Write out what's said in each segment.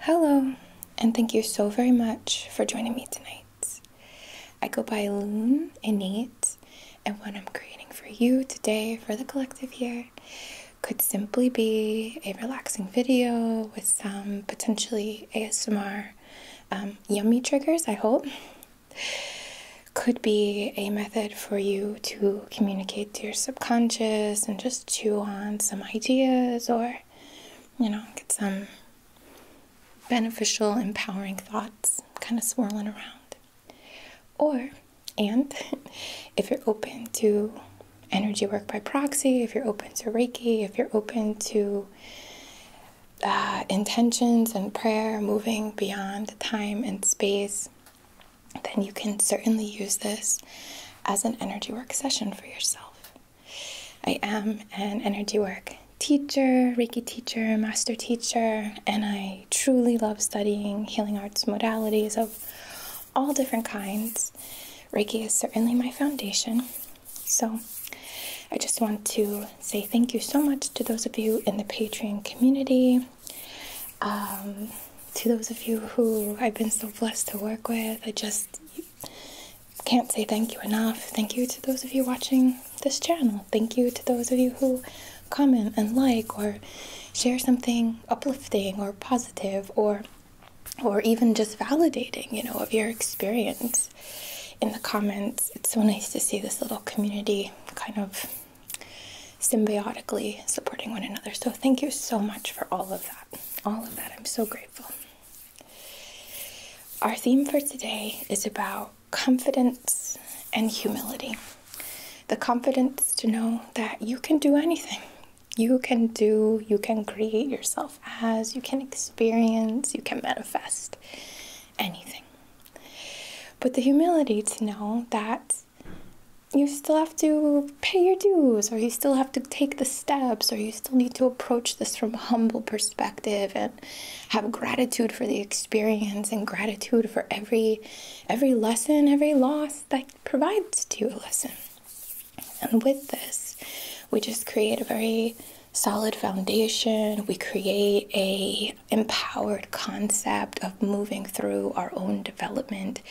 Hello, and thank you so very much for joining me tonight. I go by Loon and Nate, and what I'm creating for you today for the collective here could simply be a relaxing video with some potentially ASMR um, yummy triggers, I hope. Could be a method for you to communicate to your subconscious and just chew on some ideas or, you know, get some beneficial, empowering thoughts kind of swirling around. Or, and if you're open to energy work by proxy, if you're open to Reiki, if you're open to uh, intentions and prayer, moving beyond time and space, then you can certainly use this as an energy work session for yourself. I am an energy work teacher, Reiki teacher, master teacher, and I truly love studying healing arts modalities of all different kinds. Reiki is certainly my foundation. So I just want to say thank you so much to those of you in the Patreon community. Um, to those of you who I've been so blessed to work with, I just can't say thank you enough. Thank you to those of you watching this channel. Thank you to those of you who comment and like or share something uplifting or positive or or even just validating, you know, of your experience in the comments. It's so nice to see this little community kind of symbiotically supporting one another. So thank you so much for all of that. All of that. I'm so grateful. Our theme for today is about confidence and humility. The confidence to know that you can do anything. You can do, you can create yourself as, you can experience, you can manifest anything. But the humility to know that you still have to pay your dues or you still have to take the steps or you still need to approach this from a humble perspective and have gratitude for the experience and gratitude for every every lesson every loss that provides to you a lesson and with this we just create a very solid foundation we create a empowered concept of moving through our own development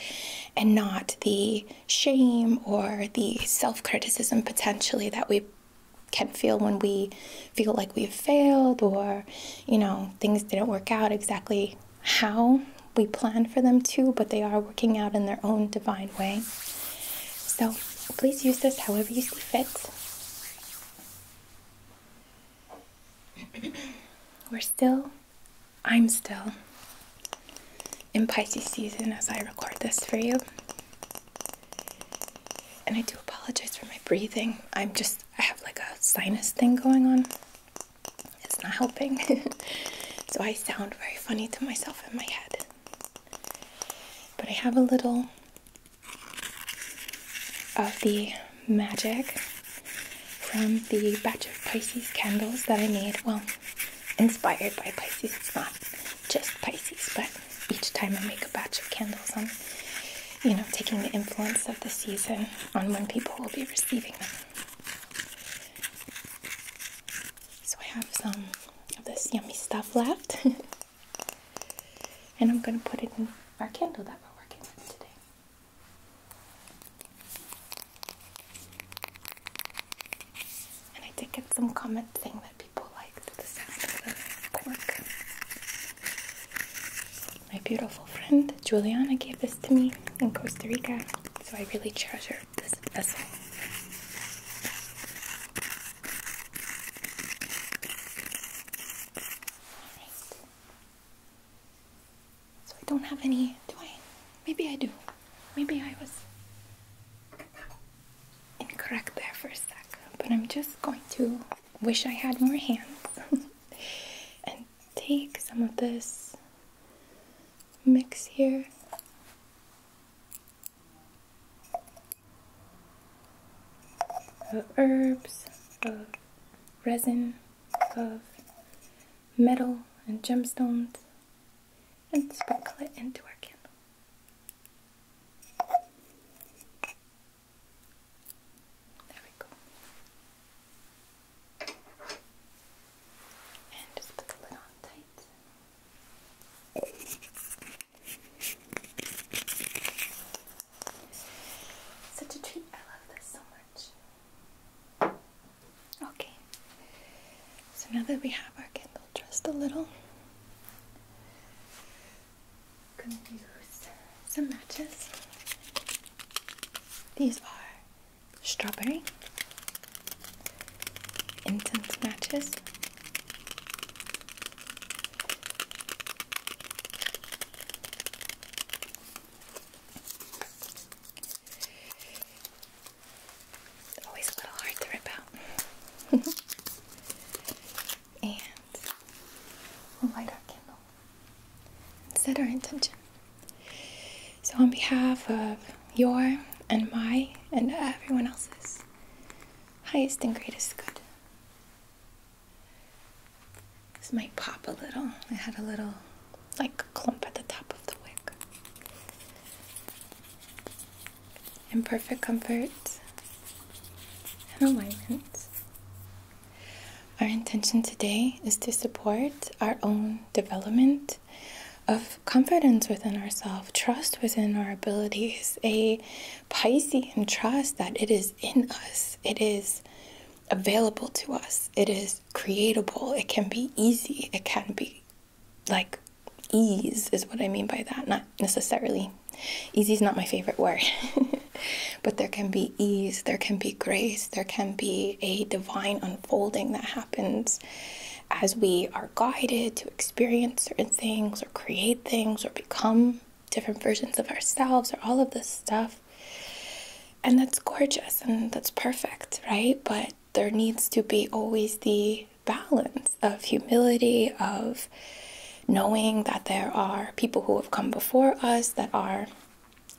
and not the shame or the self criticism potentially that we can feel when we feel like we've failed or, you know, things didn't work out exactly how we planned for them to, but they are working out in their own divine way. So please use this however you see fit. We're still I'm still in Pisces season as I record this for you. And I do apologize for my breathing. I'm just, I have like a sinus thing going on. It's not helping. so I sound very funny to myself in my head. But I have a little of the magic from the batch of Pisces candles that I made. Well, inspired by Pisces, it's not just Pisces, but each time I make a batch of candles, I'm, you know, taking the influence of the season on when people will be receiving them. So I have some of this yummy stuff left, and I'm going to put it in our candle that we're working with today. And I did get some comment saying that people liked the sound of the cork. My beautiful friend Juliana gave this to me in Costa Rica, so I really treasure this vessel. So I don't have any, do I? Maybe I do. Maybe I was incorrect there for a sec. But I'm just going to wish I had more hands and take some of this mix here. Of herbs, of resin, of metal and gemstones and sprinkle it into our candle. There we go. And just put the lid on tight. Such a treat. I love this so much. Okay, so now that we have our candle just a little, I'm going to use some matches. These are strawberry incense matches. It's always a little hard to rip out. and we'll light our candle set our intention. So, on behalf of your and my and everyone else's highest and greatest good, this might pop a little. I had a little like clump at the top of the wick, In perfect comfort and alignment. Our intention today is to support our own development of confidence within ourselves, trust within our abilities, a Pisces, Piscean trust that it is in us, it is available to us, it is creatable, it can be easy, it can be like ease is what I mean by that, not necessarily. Easy is not my favorite word. but there can be ease, there can be grace, there can be a divine unfolding that happens as we are guided to experience certain things or create things or become different versions of ourselves or all of this stuff. And that's gorgeous and that's perfect, right? But there needs to be always the balance of humility, of knowing that there are people who have come before us that are,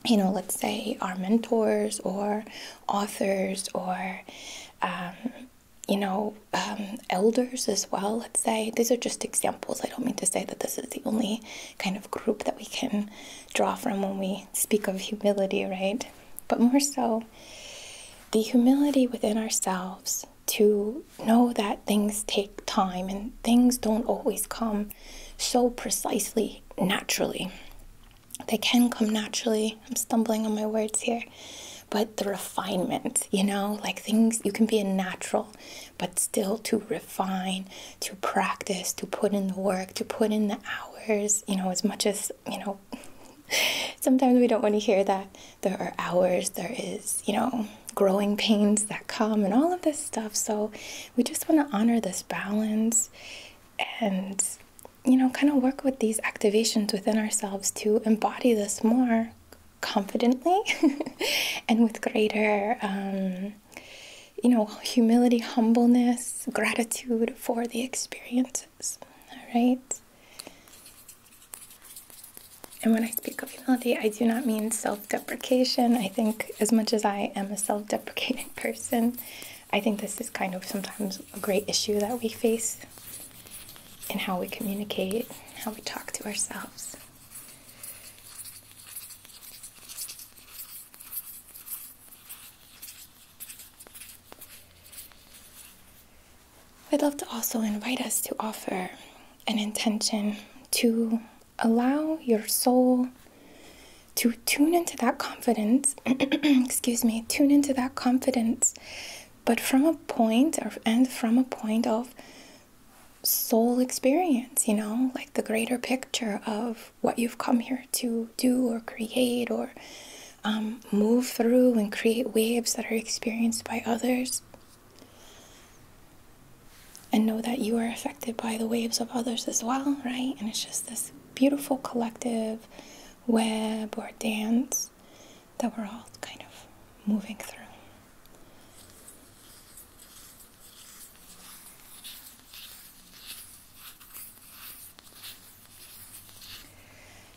you know, let's say our mentors or authors or, um, you know, um, elders as well, let's say. These are just examples. I don't mean to say that this is the only kind of group that we can draw from when we speak of humility, right? But more so, the humility within ourselves to know that things take time and things don't always come so precisely naturally. They can come naturally. I'm stumbling on my words here. But the refinement, you know, like things, you can be a natural, but still to refine to practice, to put in the work, to put in the hours, you know, as much as, you know, sometimes we don't want to hear that there are hours, there is, you know, growing pains that come and all of this stuff. So we just want to honor this balance and, you know, kind of work with these activations within ourselves to embody this more confidently and with greater um, you know, humility, humbleness, gratitude for the experiences. All right. And when I speak of humility, I do not mean self deprecation. I think, as much as I am a self deprecating person, I think this is kind of sometimes a great issue that we face in how we communicate, how we talk to ourselves i would love to also invite us to offer an intention to allow your soul to tune into that confidence, excuse me, tune into that confidence, but from a point or and from a point of soul experience, you know, like the greater picture of what you've come here to do or create or um, move through and create waves that are experienced by others. And know that you are affected by the waves of others as well, right? And it's just this beautiful collective web or dance that we're all kind of moving through.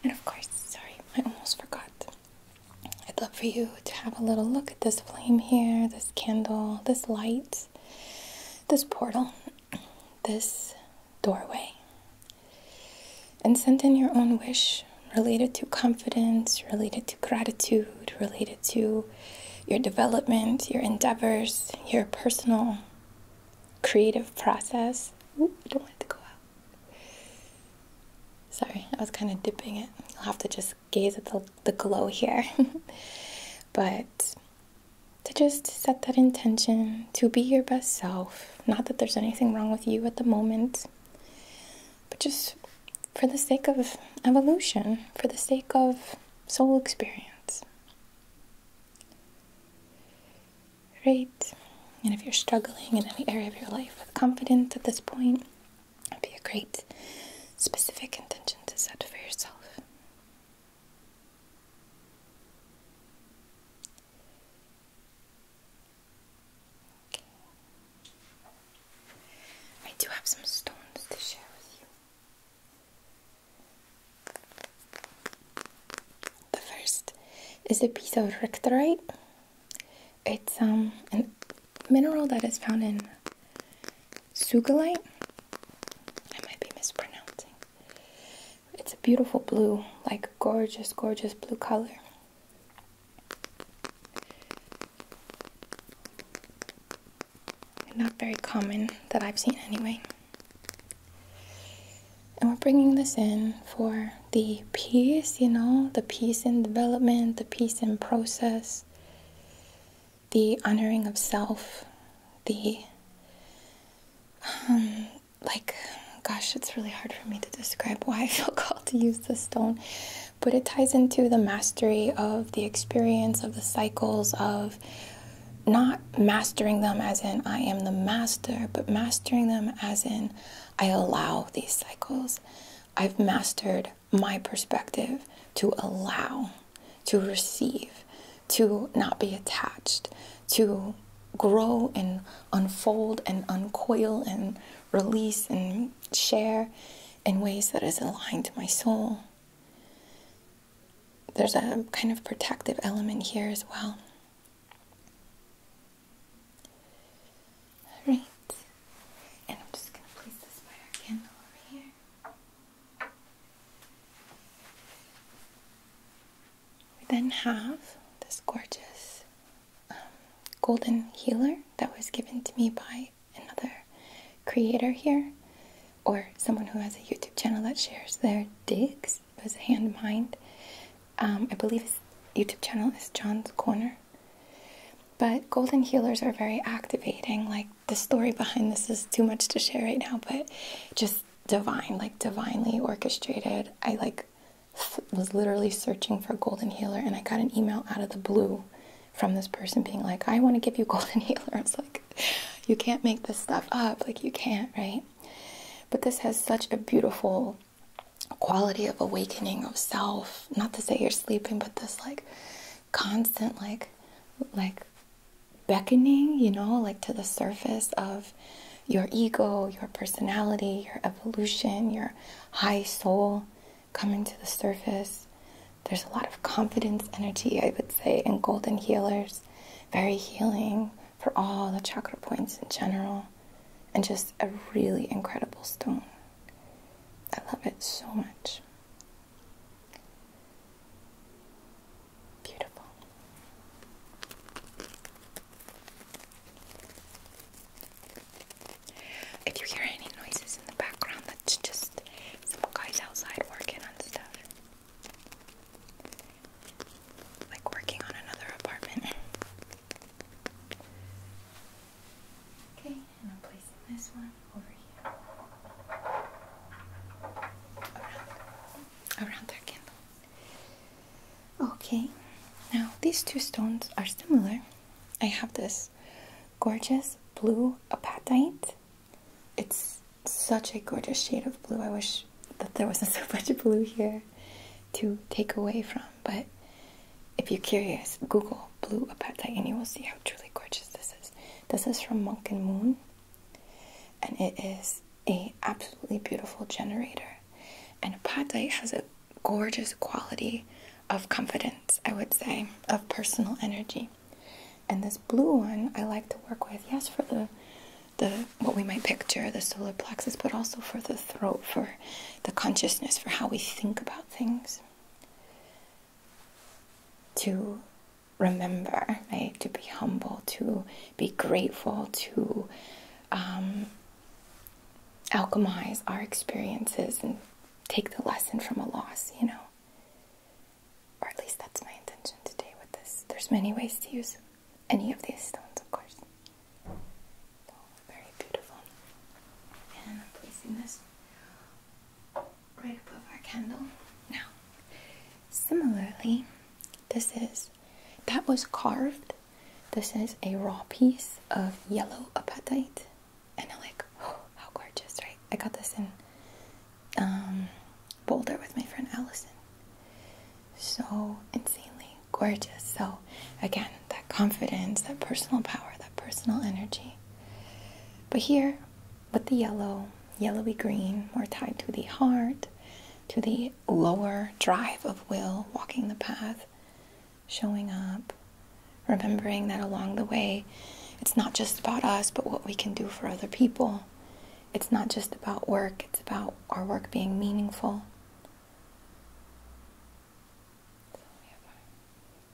And of course, sorry, I almost forgot. I'd love for you to have a little look at this flame here, this candle, this light, this portal, this doorway. And send in your own wish related to confidence, related to gratitude, related to your development, your endeavors, your personal creative process. I don't want to go out. Sorry, I was kind of dipping it. You'll have to just gaze at the glow here. but to just set that intention to be your best self. Not that there's anything wrong with you at the moment, but just for the sake of evolution, for the sake of soul experience. Great. And if you're struggling in any area of your life with confidence at this point, it'd be a great specific intention to set for yourself. I do have some stones to share with you. The first is a piece of rictorite. It's um, a mineral that is found in sugalite. I might be mispronouncing. It's a beautiful blue, like gorgeous, gorgeous blue color. Not very common that I've seen anyway. And we're bringing this in for the peace, you know, the peace in development, the peace in process, the honoring of self, the, um, like, gosh, it's really hard for me to describe why I feel called to use this stone, but it ties into the mastery of the experience, of the cycles, of not mastering them as in I am the master, but mastering them as in I allow these cycles. I've mastered my perspective to allow, to receive, to not be attached, to grow and unfold and uncoil and release and share in ways that is aligned to my soul there's a kind of protective element here as well. Alright, and I'm just going to place this fire candle over here. We then have this gorgeous um, golden healer that was given to me by another creator here or someone who has a YouTube channel that shares their digs. It was hand mined. Um, I believe his YouTube channel is John's Corner. But golden healers are very activating. Like the story behind this is too much to share right now, but just divine, like divinely orchestrated. I like was literally searching for a golden healer and I got an email out of the blue from this person being like, I want to give you golden healer. I like, you can't make this stuff up. Like, you can't, right? But this has such a beautiful quality of awakening of self. Not to say you're sleeping, but this like constant, like, like beckoning, you know, like to the surface of your ego, your personality, your evolution, your high soul coming to the surface there's a lot of confidence energy, I would say, in golden healers. Very healing for all the chakra points in general. And just a really incredible stone. I love it so much. Beautiful. If you hear any noises in the background, just some guys outside working on stuff. Like working on another apartment. Okay, and I'm placing this one over here. Around, around that candle. Okay, now these two stones are similar. I have this gorgeous blue apatite it's such a gorgeous shade of blue. I wish that there wasn't so much blue here to take away from, but if you're curious, Google blue apatite and you will see how truly gorgeous this is. This is from Monk and Moon, and it is a absolutely beautiful generator. And apatite has a gorgeous quality of confidence. I would say, of personal energy. And this blue one I like to work with, yes, for the the what we might picture, the solar plexus, but also for the throat, for the consciousness, for how we think about things. To remember, right? To be humble, to be grateful, to um, alchemize our experiences and take the lesson from a loss, you know. Or at least that's my intention today with this. There's many ways to use any of these stones, of course. very beautiful. And I'm placing this right above our candle. Now, similarly, this is, that was carved. This is a raw piece of yellow apatite and I'm like, oh, how gorgeous, right? I got this in um, Boulder with my friend Allison. So insanely gorgeous. So again, that confidence, that personal power, that personal energy. But here, with the yellow, yellowy green, more tied to the heart, to the lower drive of will, walking the path, showing up, remembering that along the way, it's not just about us, but what we can do for other people. It's not just about work, it's about our work being meaningful.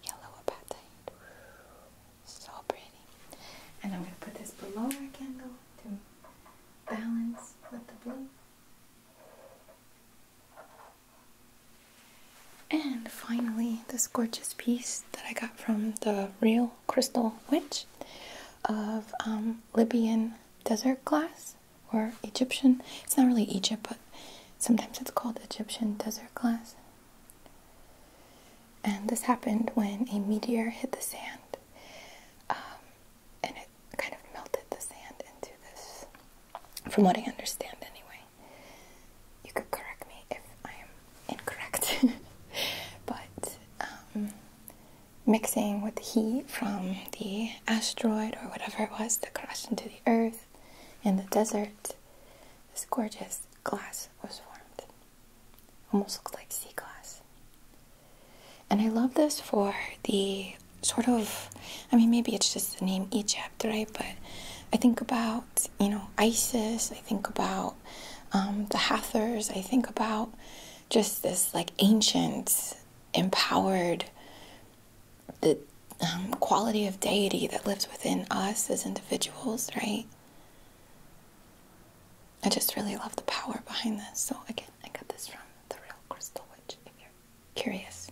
yellow apatite. So pretty. And I'm going to put this below our candle to balance with the blue. And finally, this gorgeous piece that I got from the Real Crystal Witch of um, Libyan desert glass or Egyptian. It's not really Egypt, but sometimes it's called Egyptian desert glass. And this happened when a meteor hit the sand. Um, and it kind of melted the sand into this, from what I understand anyway you could correct me if I am incorrect, but um, mixing with the heat from the asteroid or whatever it was that crashed into the earth in the desert, this gorgeous glass was formed. Almost looked like sea glass. And I love this for the sort of, I mean, maybe it's just the name Egypt right? But I think about, you know, ISIS, I think about um, the Hathors, I think about just this like ancient, empowered, the um, quality of deity that lives within us as individuals, right? I just really love the power behind this. So, again, I got this from The Real Crystal Witch if you're curious.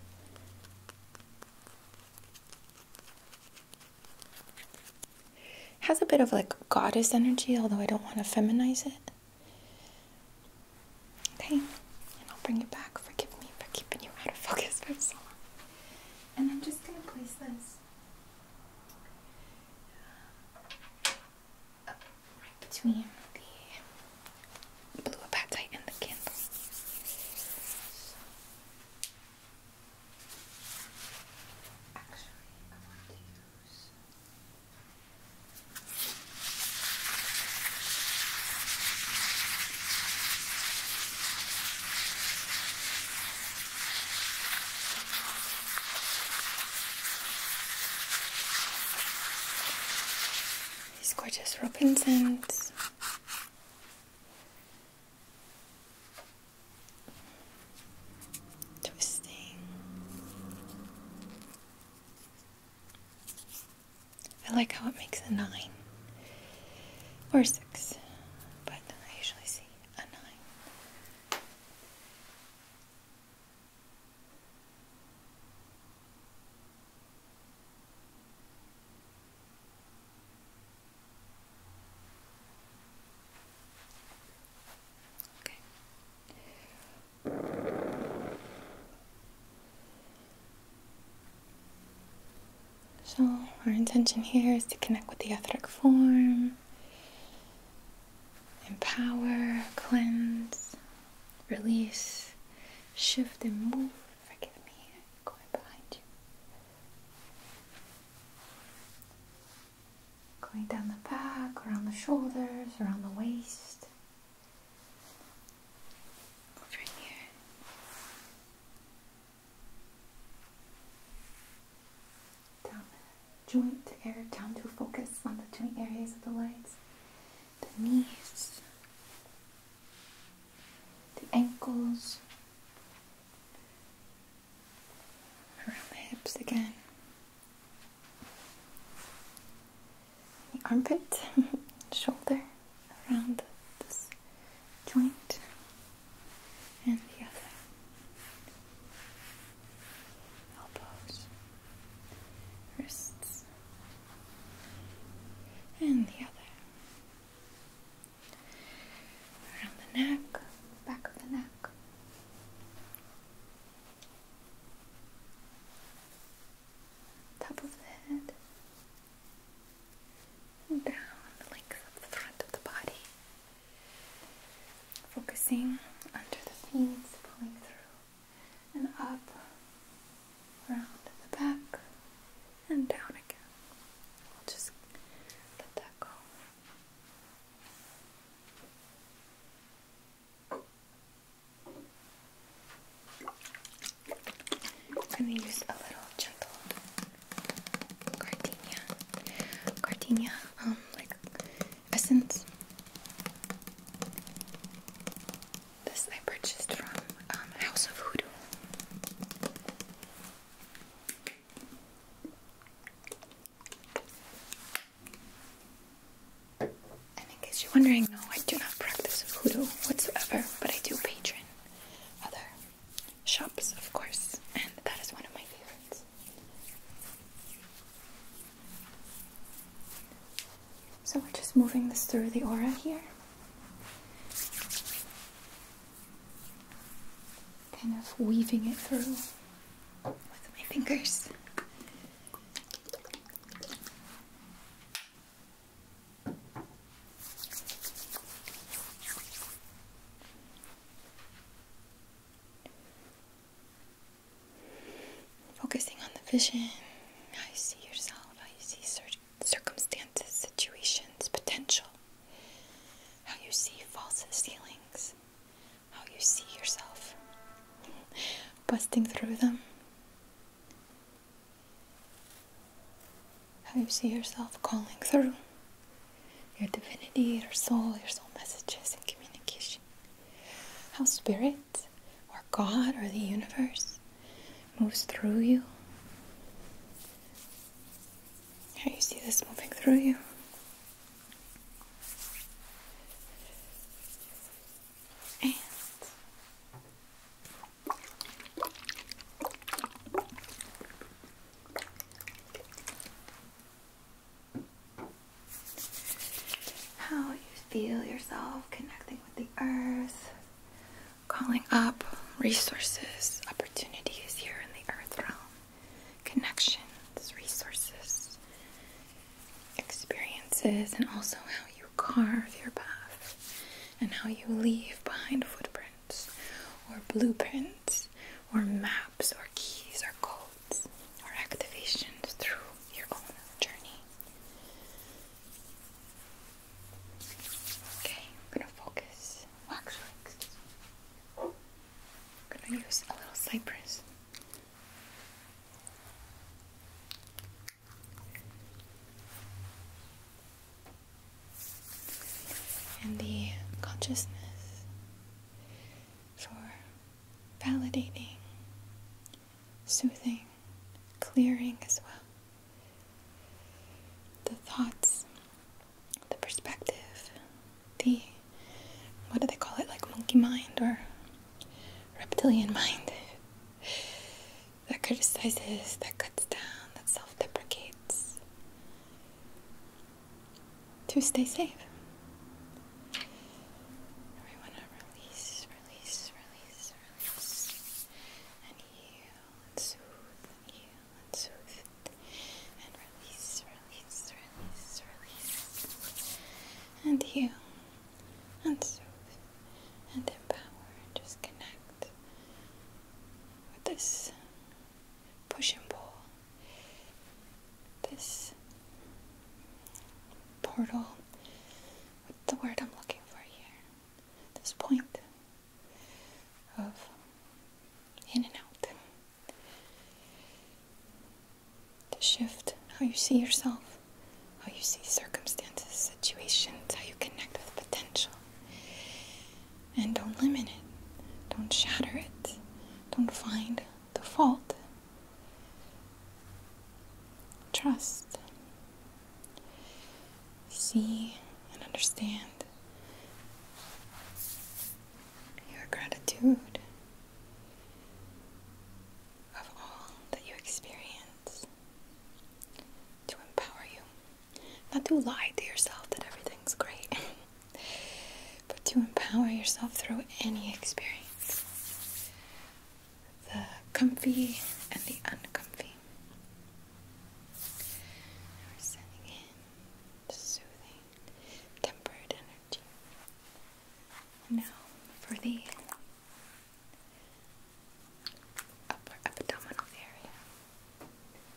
Has a bit of like goddess energy, although I don't want to feminize it. Okay, and I'll bring you back. Forgive me for keeping you out of focus for so long. And I'm just gonna place this uh, right between the blue apatite and the candle. Actually, These gorgeous robins and Twisting. I like how it makes a nine or six, but I usually see a nine. So, our intention here is to connect with the etheric form, empower, cleanse, release, shift, and move. Forgive me, going behind you. Going down the back, around the shoulders, around the waist. Over here. Down the joint area, down to focus on the joint areas of the legs, the knees, the ankles, around the hips again, the armpit, shoulder, around this joint and the other elbows, wrists, and the other around the neck, back of the neck. Top of the head, down the length of the front of the body, focusing under the feet, pulling through and up around the back, and down again. I'll just let that go. I'm going to use a little gentle gardenia, gardenia, um, like essence. This I purchased from um, House of Hoodoo. And in case you're wondering, no, I do not practice voodoo whatsoever, but I do patron other shops, of course, and that is one of my favorites. So we're just moving this through the aura here kind of weaving it through with my fingers. Focusing on the vision, how you see yourself, how you see certain circumstances, situations, potential, how you see false ceilings, how you see yourself, busting through them, how you see yourself calling through your divinity, your soul, your soul messages and communication, how spirit or God or the universe moves through you. How you see this moving through you. how you feel yourself connecting with the earth, calling up resources, opportunities here in the earth realm, connections, resources, experiences, and also how you carve your path and how you leave behind footprints or blueprints or maps or keys or codes or activations through your own journey. Okay, I'm gonna focus waxworks. I'm gonna use a little cypress. And the consciousness for validating, soothing, clearing as well the thoughts, the perspective, the what do they call it, like monkey mind or reptilian mind that criticizes, that cuts down, that self deprecates to stay safe. We want to release, release, release, release, and heal and soothe you and soothe and release, release, release, release. And heal and soothe and empower and just with this push and pull, this portal with the word I'm looking for here this point of in and out to shift how you see yourself, how you see circumstances, situations, how you connect with potential. And don't limit it, don't shatter it, don't find the fault. Trust see and understand your gratitude of all that you experience to empower you. Not to lie to yourself that everything's great, but to empower yourself through any experience the comfy and the uncomfy we're sending in soothing, tempered energy. Now for the upper abdominal area.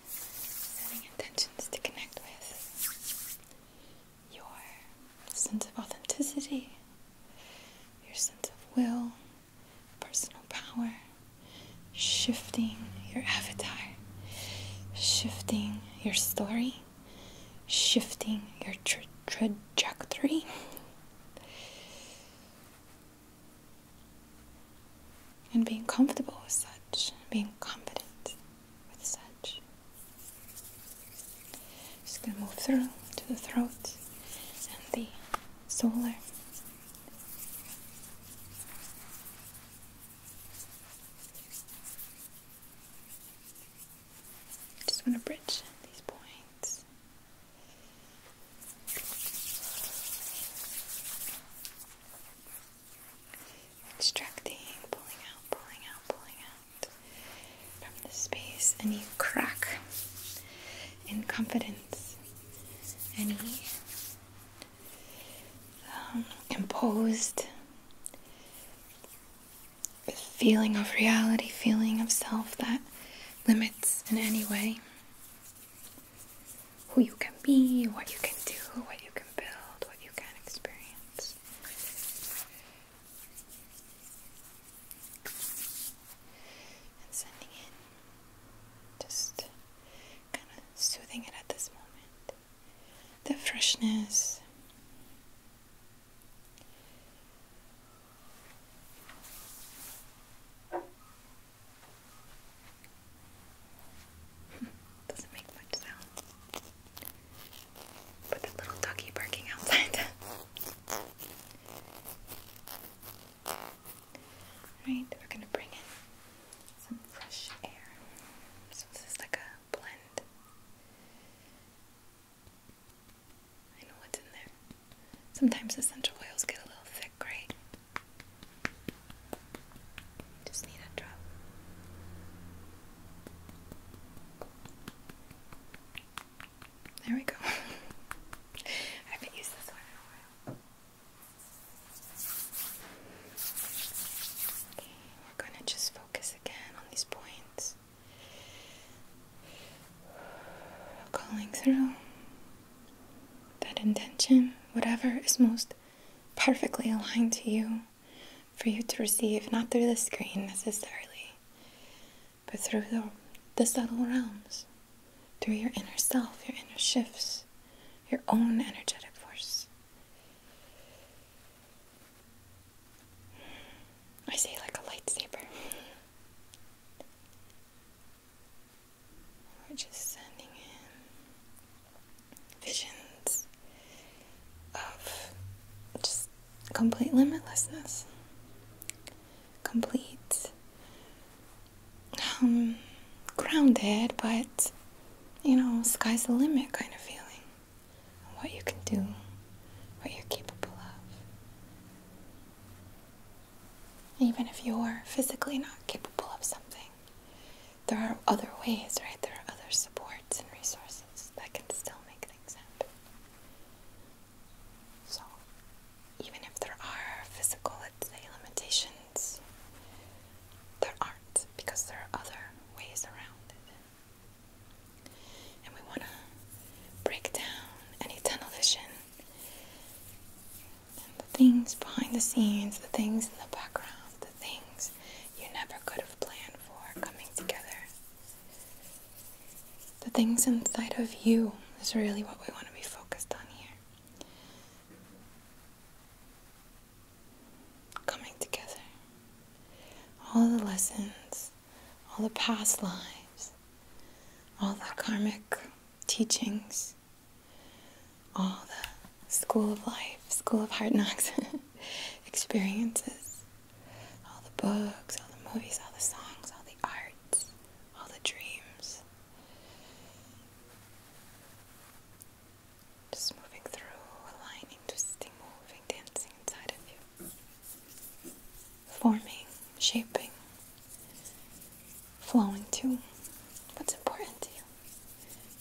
Sending intentions to connect with your sense of authenticity, your sense of will, personal power, shifting your avatar, shifting your story, shifting your trajectory. and being comfortable with such, being confident with such. Just gonna move through to the throat and the solar just want to bridge these points. Extracting, pulling out, pulling out, pulling out from the space, and you crack in confidence. any um, imposed feeling of reality, feeling of self that limits in any way who you can be, what you can do, what you can build, what you can experience. Just kind of soothing it at this moment. The freshness. Doesn't make much sound. But the little doggy barking outside. Right, we're gonna bring in some fresh air. So this is like a blend. I know what's in there. Sometimes essential oils get a little thick, right? Just need a drop. There we go. I haven't used this one in a while we're gonna just focus again on these points. Calling through that intention, whatever is most perfectly aligned to you, for you to receive, not through the screen necessarily, but through the, the subtle realms, through your inner self, your inner shifts, your own energetic force. I say like a lightsaber. We're just sending in visions of just complete limitlessness, complete um, grounded, but you know, sky's the limit kind of feeling. What you can do, what you're capable of. Even if you're physically not capable of something, there are other ways, right? There are other supports and resources that can still make things happen. So, even if there are physical, limitations, there aren't because there are other ways around it. And we want to break down any tunnel vision the things behind the scenes, the things in the background, the things you never could have planned for coming together the things inside of you is really what we want to be focused on here. Coming together. All the lessons, all the past lives, all the karmic teachings, all the school of life, school of hard knocks experiences, all the books, all the movies, all the songs, all the arts, all the dreams just moving through, aligning, twisting, moving, dancing inside of you. Forming, shaping, flowing to what's important to you,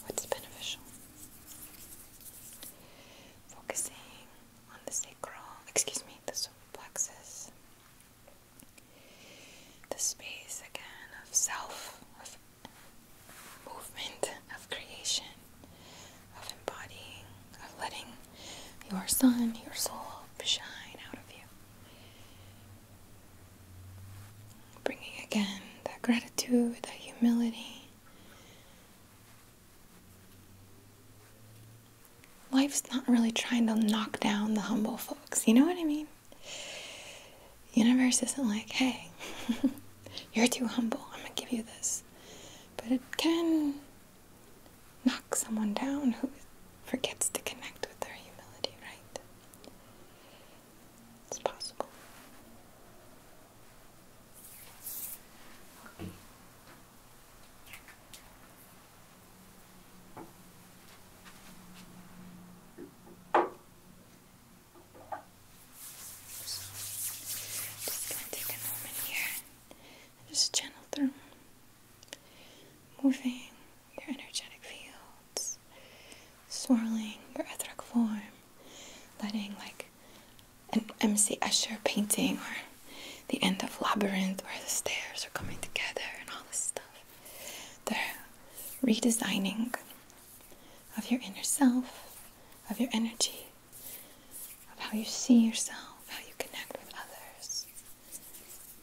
what's beneficial. Focusing on the sacral, excuse me, the solar plexus, the space again of self, of movement, of creation, of embodying, of letting your sun, your soul shine out of you. Bringing again that gratitude, that humility life's not really trying to knock down the humble folks. You know what I mean? Universe isn't like, hey, you're too humble. I'm gonna give you this. But it can knock someone down who forgets to connect with their humility, right? It's possible just gonna take a moment here just channel through, moving your energetic fields, swirling your etheric form, letting like an MC Escher painting or the end of Labyrinth where the stairs are coming together and all this stuff. they are redesigning of your inner self, of your energy, of how you see yourself, how you connect with others,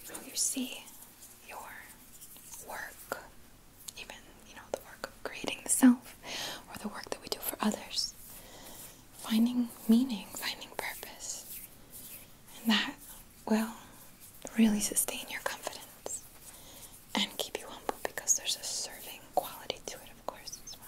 how you see your work, even, you know, the work of creating the self or the work that we do for others. Finding meaning, finding purpose. And that well, really sustain your confidence and keep you humble because there's a serving quality to it, of course, as well.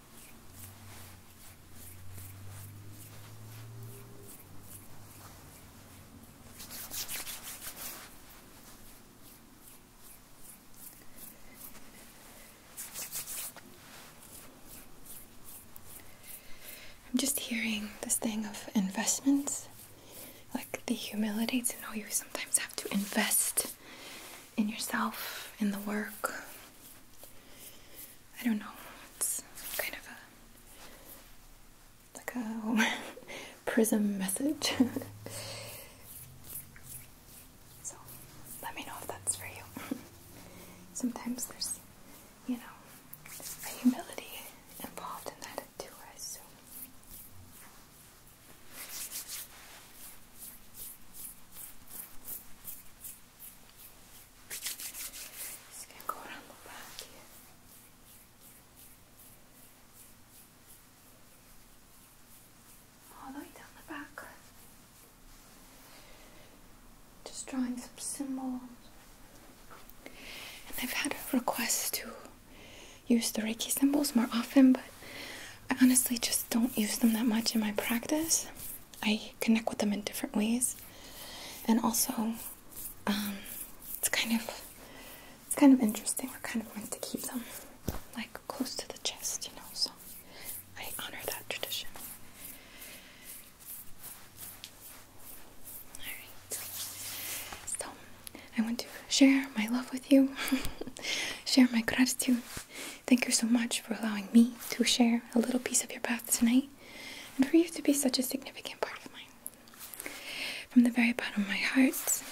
I'm just hearing this thing of investments, like the humility to know you sometimes have to invest in yourself, in the work. I don't know, it's kind of a like a prism message. so let me know if that's for you. Sometimes there's, you know, a humility involved in that too, I assume. Just gonna the back All the way down the back. Just drawing some symbols. And I've had a request to use the Reiki symbols more often, but I honestly just don't use them that much in my practice. I connect with them in different ways, and also um, it's kind of it's kind of interesting. We're kind of meant to keep them like close to the chest, you know. So I honor that tradition. All right. So I want to share my love with you, share my gratitude Thank you so much for allowing me to share a little piece of your path tonight and for you to be such a significant part of mine. From the very bottom of my heart,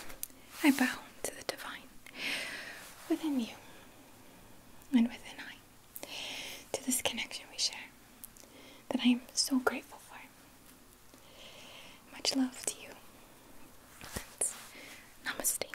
I bow to the divine within you and within I to this connection we share that I am so grateful for. Much love to you. namaste.